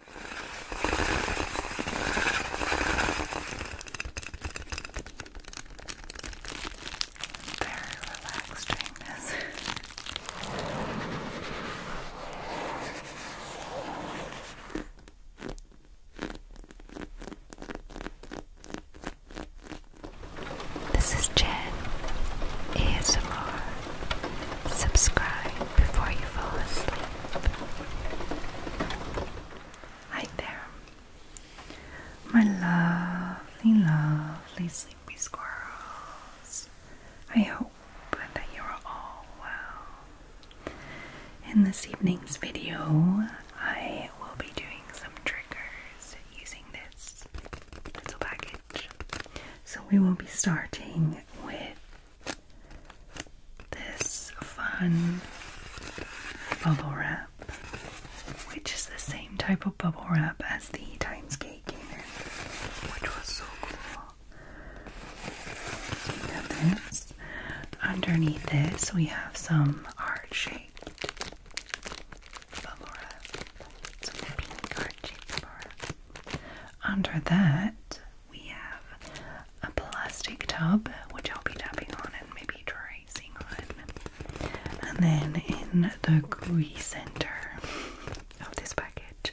Very relaxed doing this. This is Jen ASMR. Subscribe before you fall asleep. Hi there, my lovely, lovely sleepy squirrels. I hope that you're all well. In this evening's video, I will be doing some triggers using this little package. So, we will be starting with this fun bubble wrap, which is the same type of bubble wrap as the Times Gate came in, which was so cool. we have this. Underneath this, we have some art shaped bubble Some pink art shaped bubble Under that, we have a plastic tub, which I'll be tapping on and maybe tracing on. And then in the gooey center of this package,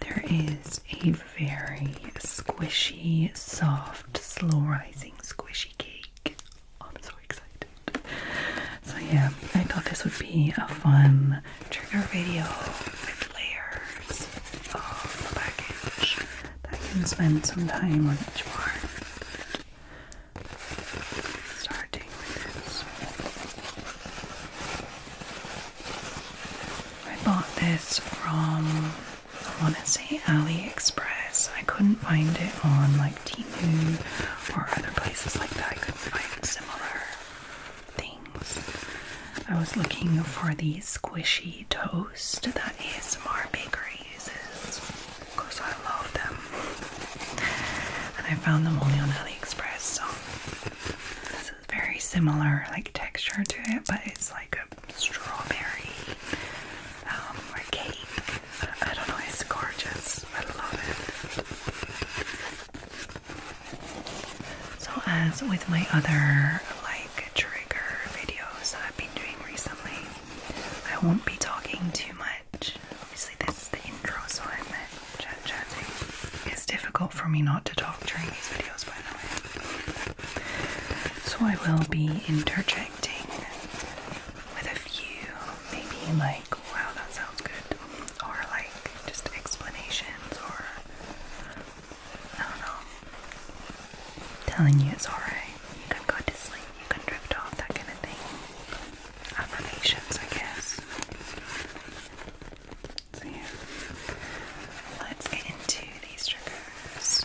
there is a very squishy, soft, slow rising squishy cake. I'm so excited. So, yeah, I thought this would be a fun trigger video with layers of package I can spend some time on each part. Starting with this. I bought this from I want to say AliExpress. I couldn't find it on like Temu or other places like that. I couldn't find similar things. I was looking for the squishy toast that ASMR Bakery uses because I love them. And I found them only on AliExpress, so this is very similar like texture to it, but it's like a strawberry um, cake. I don't know, it's gorgeous. I love it. So as with my other like trigger videos I've been doing recently, I won't be talking too much. Obviously this is the intro so I'm chat chatting. It's difficult for me not to talk during these videos by the way. So I will be interjecting with a few maybe like wow that sounds good or like just explanations or I don't know. telling you it's alright. You can go to sleep, you can drift off, that kind of thing. Affirmations, I guess. So yeah. Let's get into these triggers.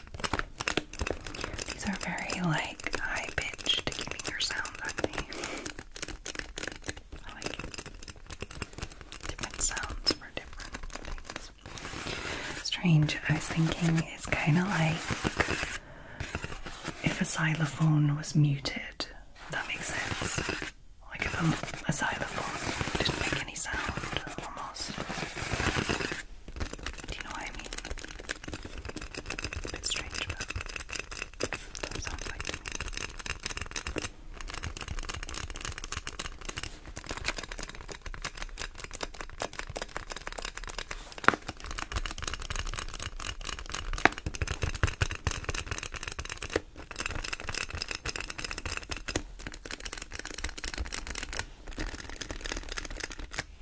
These are very like high pitched, keeping your I like different sounds for different things. Strange, I was thinking it's kind of like if a xylophone was muted, that makes sense. Like if a xylophone didn't make any sound, almost. Do you know what I mean? It's a bit strange, but sounds like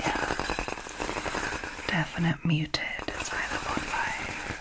Yeah, definite muted is either one by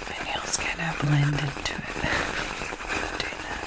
My nails kind of blend into it. doing that.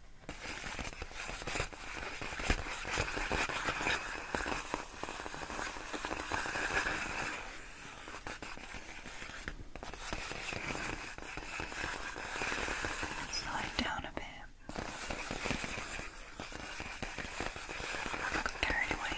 Slide down a bit. I got carried away.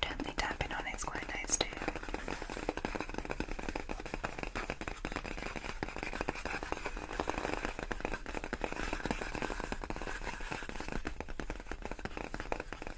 Gently tapping on it's quite nice too.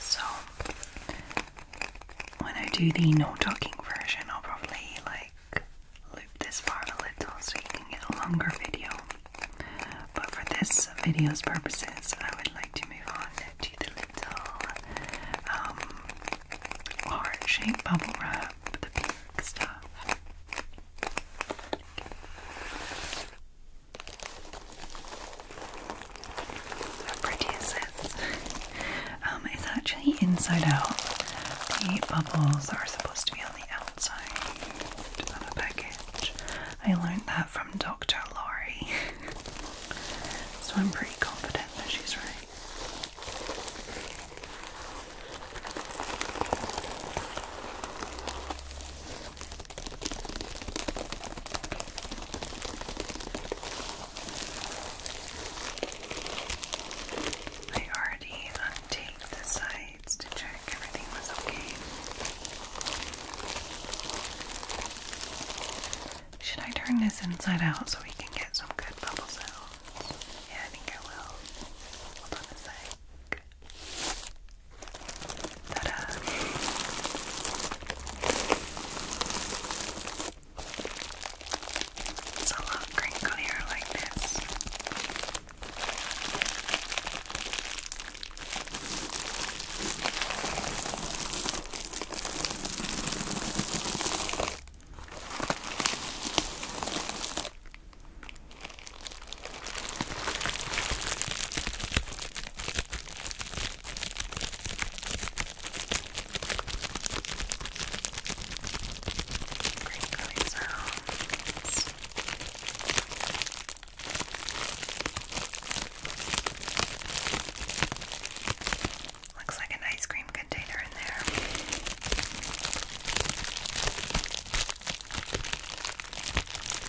So when I do the no talking version, I'll probably like loop this part a little so you can get a longer video. But for this video's purposes, I would like to move on to the little um, heart-shaped bubble wrap, the pink stuff. How pretty is um, it's actually inside out. The bubbles are supposed to be on the outside of a package. I learned that from Dr. Laurie. so I'm pretty confident that she's right. I already untaped the sides to check everything was okay. Should I turn this inside out so we can get some good bubbles out? Yeah, I think I will. Hold on a sec. It's a lot crinklier like this. Crinkly sounds. Looks like an ice cream container in there.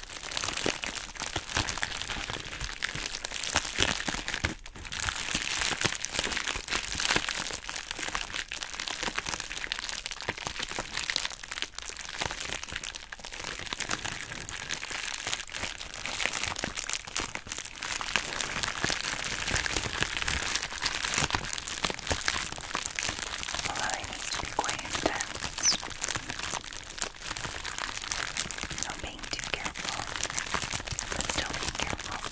Well, I need to be quite intense. No being too careful, but still being careful.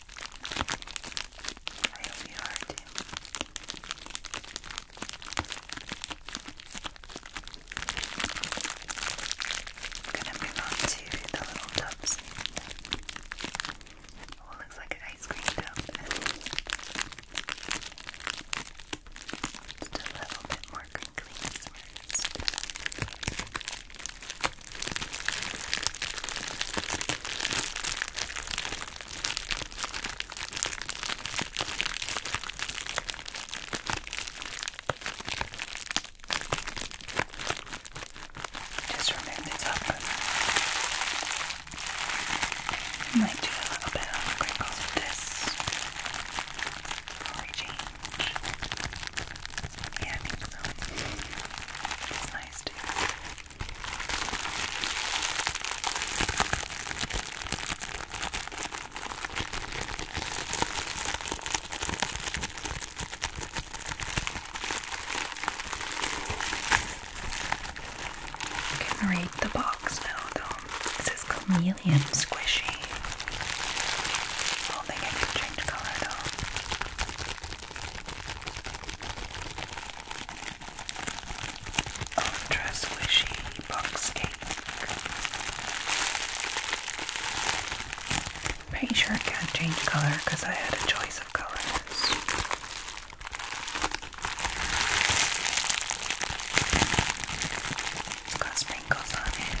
I hope you are too. I'm gonna move on to the little tubs. Oh, it looks like an ice cream tub. Just a little bit more crinkly first. Just remove the top. Might do a little bit of crinkles with this for change. Yeah, I so. nice too. I can read the box now this is chameleon squishy. I do can change color though. Ultra Squishy Box Cake. Pretty sure I can't change colour because I had a choice of colors got sprinkles on it.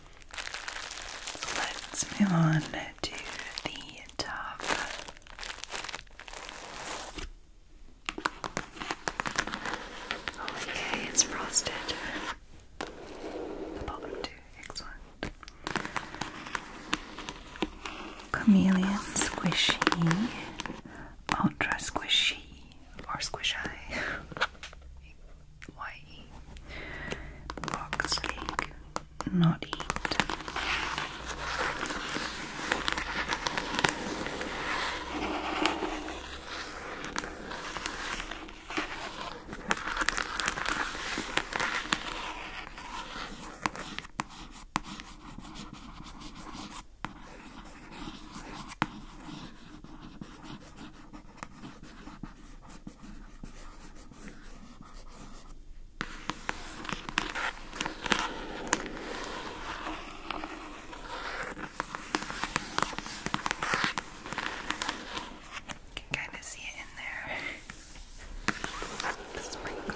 Let's move on to the top. Okay, it's frosted. Chameleon squishy, ultra squishy, or squishy. Why box egg, not eat you can kind of see it in there. The sprinkles.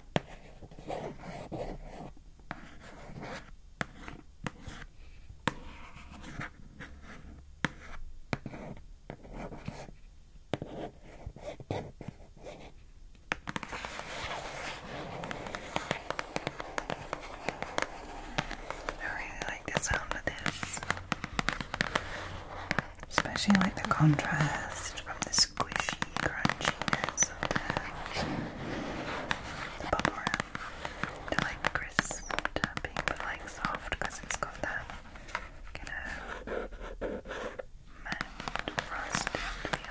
I really like the sound of this especially like the contrast from the squishy crunchiness of the bubble wrap to like crisp tapping like soft because it's got that kind of matte frosted feel.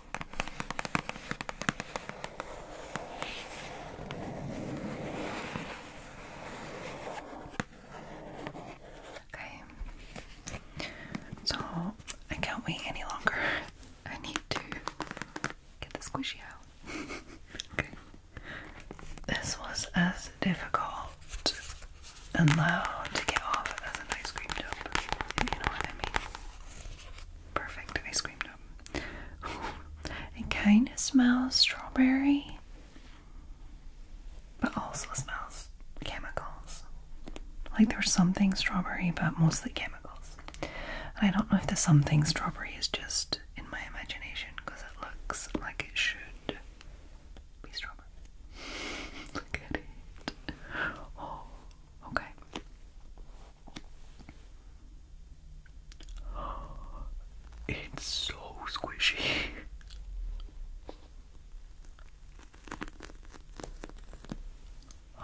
Okay. So I can't wait any longer. I need to get the squishy out. This was as difficult and loud to get off as an ice cream tub, if you know what I mean. Perfect, I screamed up. it kinda smells strawberry, but also smells chemicals. Like there's something strawberry, but mostly chemicals. I don't know if the something strawberry is just in my imagination because it looks like it should be strawberry. Look at it. Oh. Okay. It's so squishy.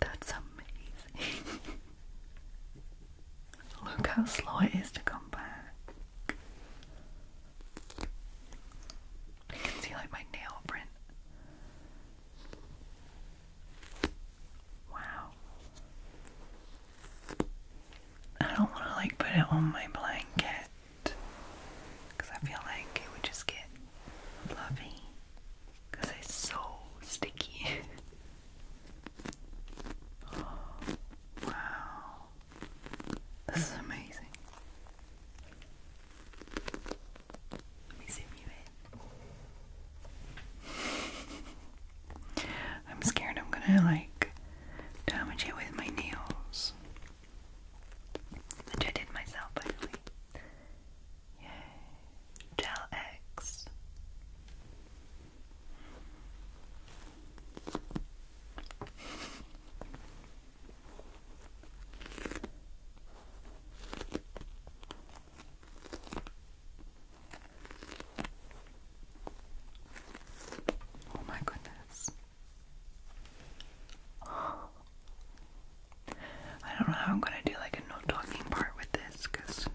That's amazing. Look how slow it is to come back. I can see like my nail print. Wow. I don't want to like put it on my blanket because I feel like it would just get fluffy because it's so sticky. wow. This is amazing. I'm scared I'm gonna like damage it with my nails. Which I did myself by the way. Yay. Gel X. Oh, my goodness. I don't know how I'm gonna do like a no talking part with this because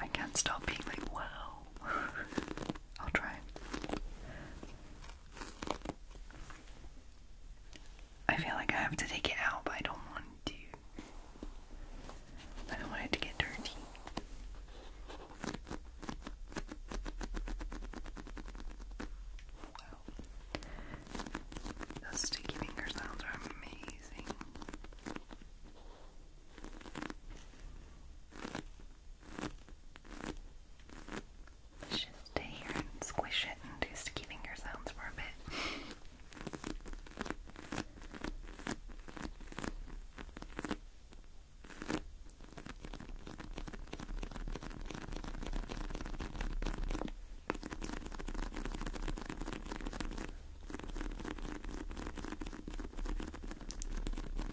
I can't stop being like, wow. I'll try. I feel like I have to take it out, but I don't want to. I don't want it to get dirty. Wow. Those sticky finger sounds are amazing. Let's just stay here and squish it and do sticky finger sounds for a bit.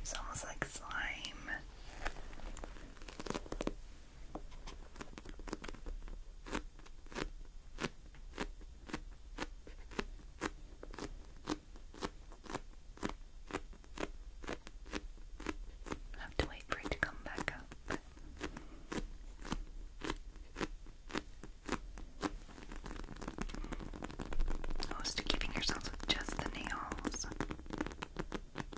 It's almost like slime. Have to wait for it to come back up. Close to giving yourselves with just the nails.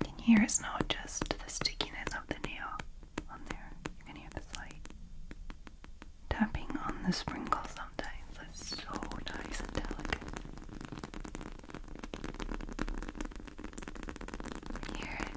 You can hear it's not just the stickiness of the nail on there. You can hear the slight tapping on the sprinkles sometimes. It's so nice and delicate. Hear it.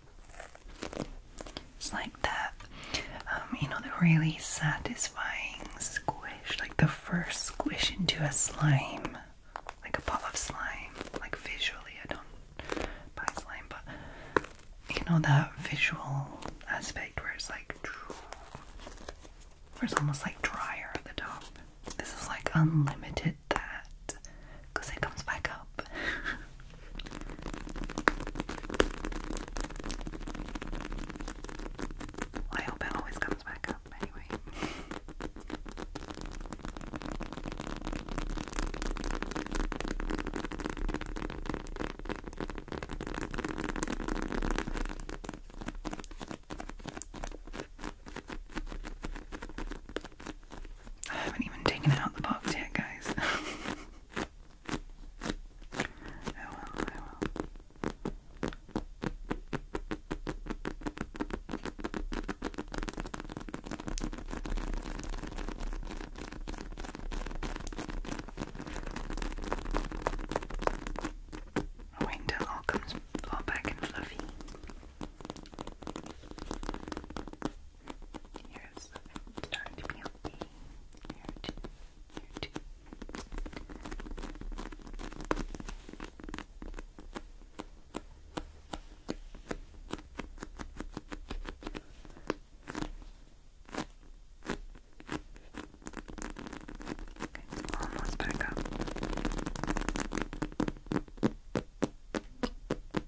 It's like that, um, you know, the really satisfying squish, like the first squish into a slime, like a pot of slime. Like visually, I don't buy slime, but you know that visual aspect where it's like, where it's almost like drier at the top. This is like unlimited that because it comes back up. I hope it always comes back up anyway. I haven't even taken out the box yet, guys. I will, I will. i all comes back and fluffy. Here's starting to be healthy. Here too. Here Okay, almost back up.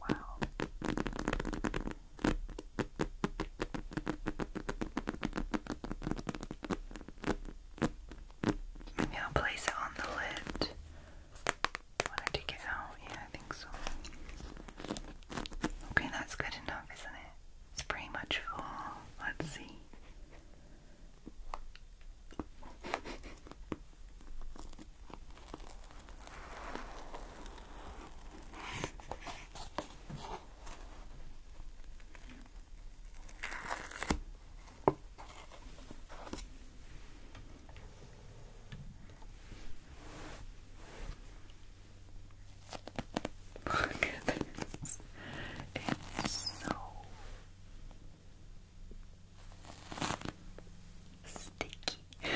Wow. Maybe I'll place it on the lid when I take out. Yeah, I think so. Okay, that's good enough, isn't it? It's pretty much full. Let's see. Look at this. It's so sticky.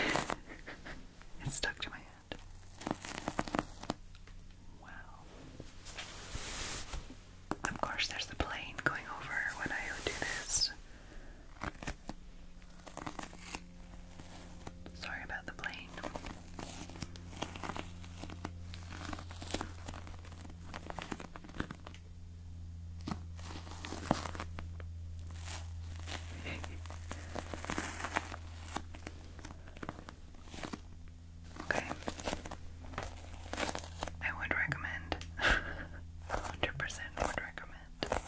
it's stuck to my hand that. Wow. Of course, there's the plane going over when I do this. Sorry about the plane. Okay. I would recommend. 100% would recommend.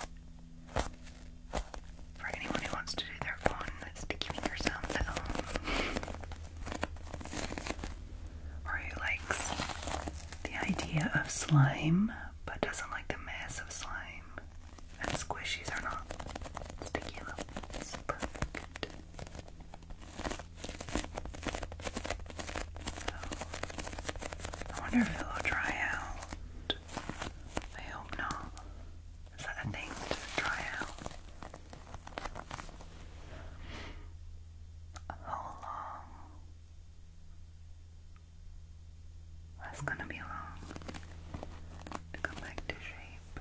For anyone who wants to do their own sticky finger sound at or who likes the idea of slime but doesn't like the mess of slime and squishies are not sticky though. It's oh. I wonder if it'll dry out. I hope not. Is that a thing? Does dry out? How long that's gonna be long to come back to shape.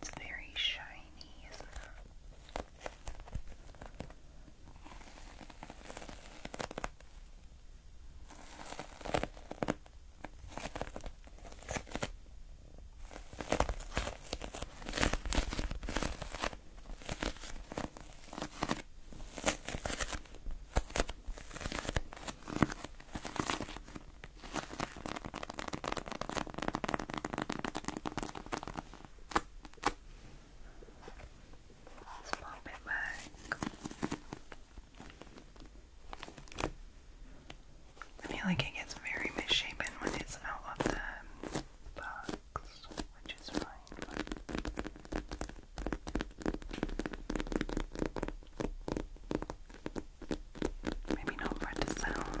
It's very shiny, isn't it? let I feel like it gets very misshapen when it's out of the box, which is fine. Maybe not for it to sound.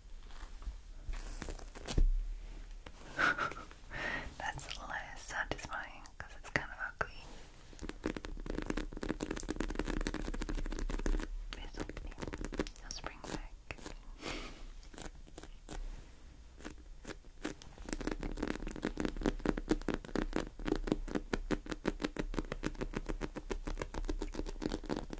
That's less satisfying because it's kind of ugly. It's spring back.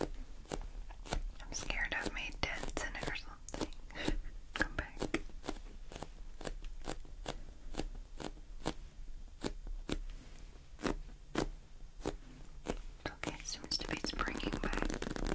I'm scared I've made dents in it or something. Come back. Okay, it seems to be springing back. Alright.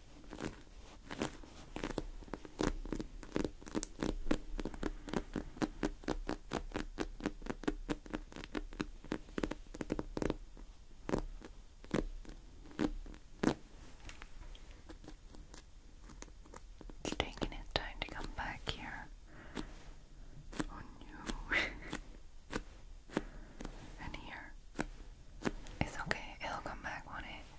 It's taking its time to come back here. Oh no. and here. It's okay, it'll come back, on it?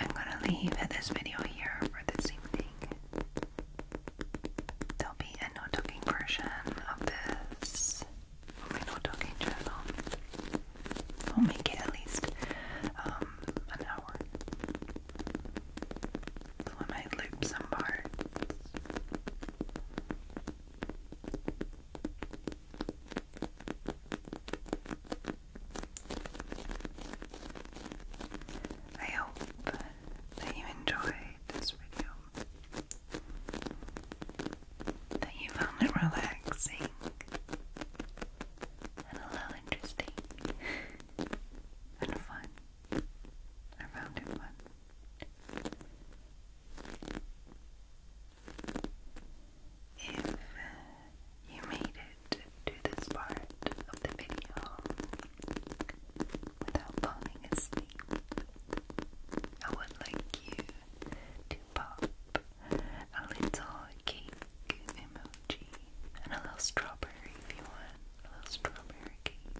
I'm gonna leave this video here for this evening. There'll be a no talking version of this on my no talking channel. I'll make it at least um, an hour. So might loop some parts. I hope that you enjoyed this video. That you found it relaxing and a little interesting and fun. I found it fun. If you made it to do this part of the video without falling asleep. I would like you to pop a little cake emoji and a little strawberry if you want. A little strawberry cake.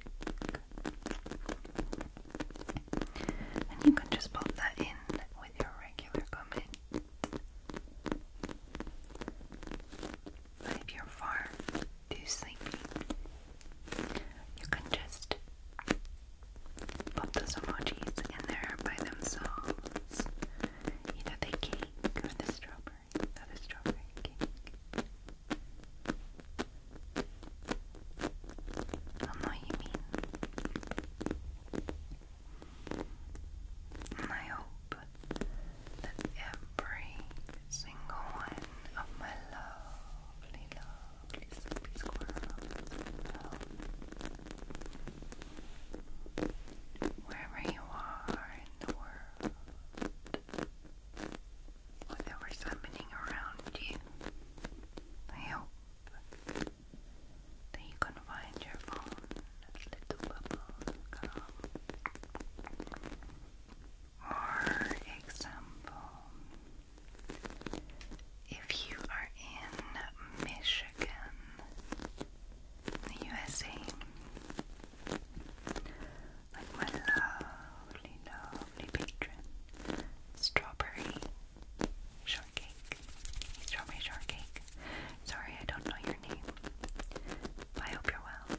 And you can just pop that in with your regular comment. But if you're far too sleepy, you can just pop those emojis in there by themselves. Either the cake or the strawberry, the strawberry cake. I'll know you mean. And I hope that every single one of my lovely, lovely sleepy squirrels, wherever you are in the world, whatever's happening around you, I hope that you can find your phone little example, if you are in Michigan, USA, like my lovely, lovely patron, Strawberry Shortcake, Strawberry Shortcake Sorry, I don't know your name. I hope you're well.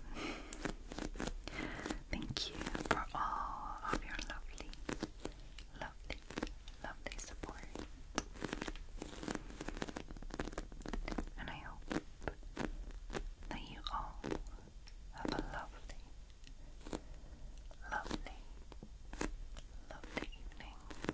Thank you for all of your lovely, lovely, lovely support. And I hope that you all have a lovely, lovely, lovely evening.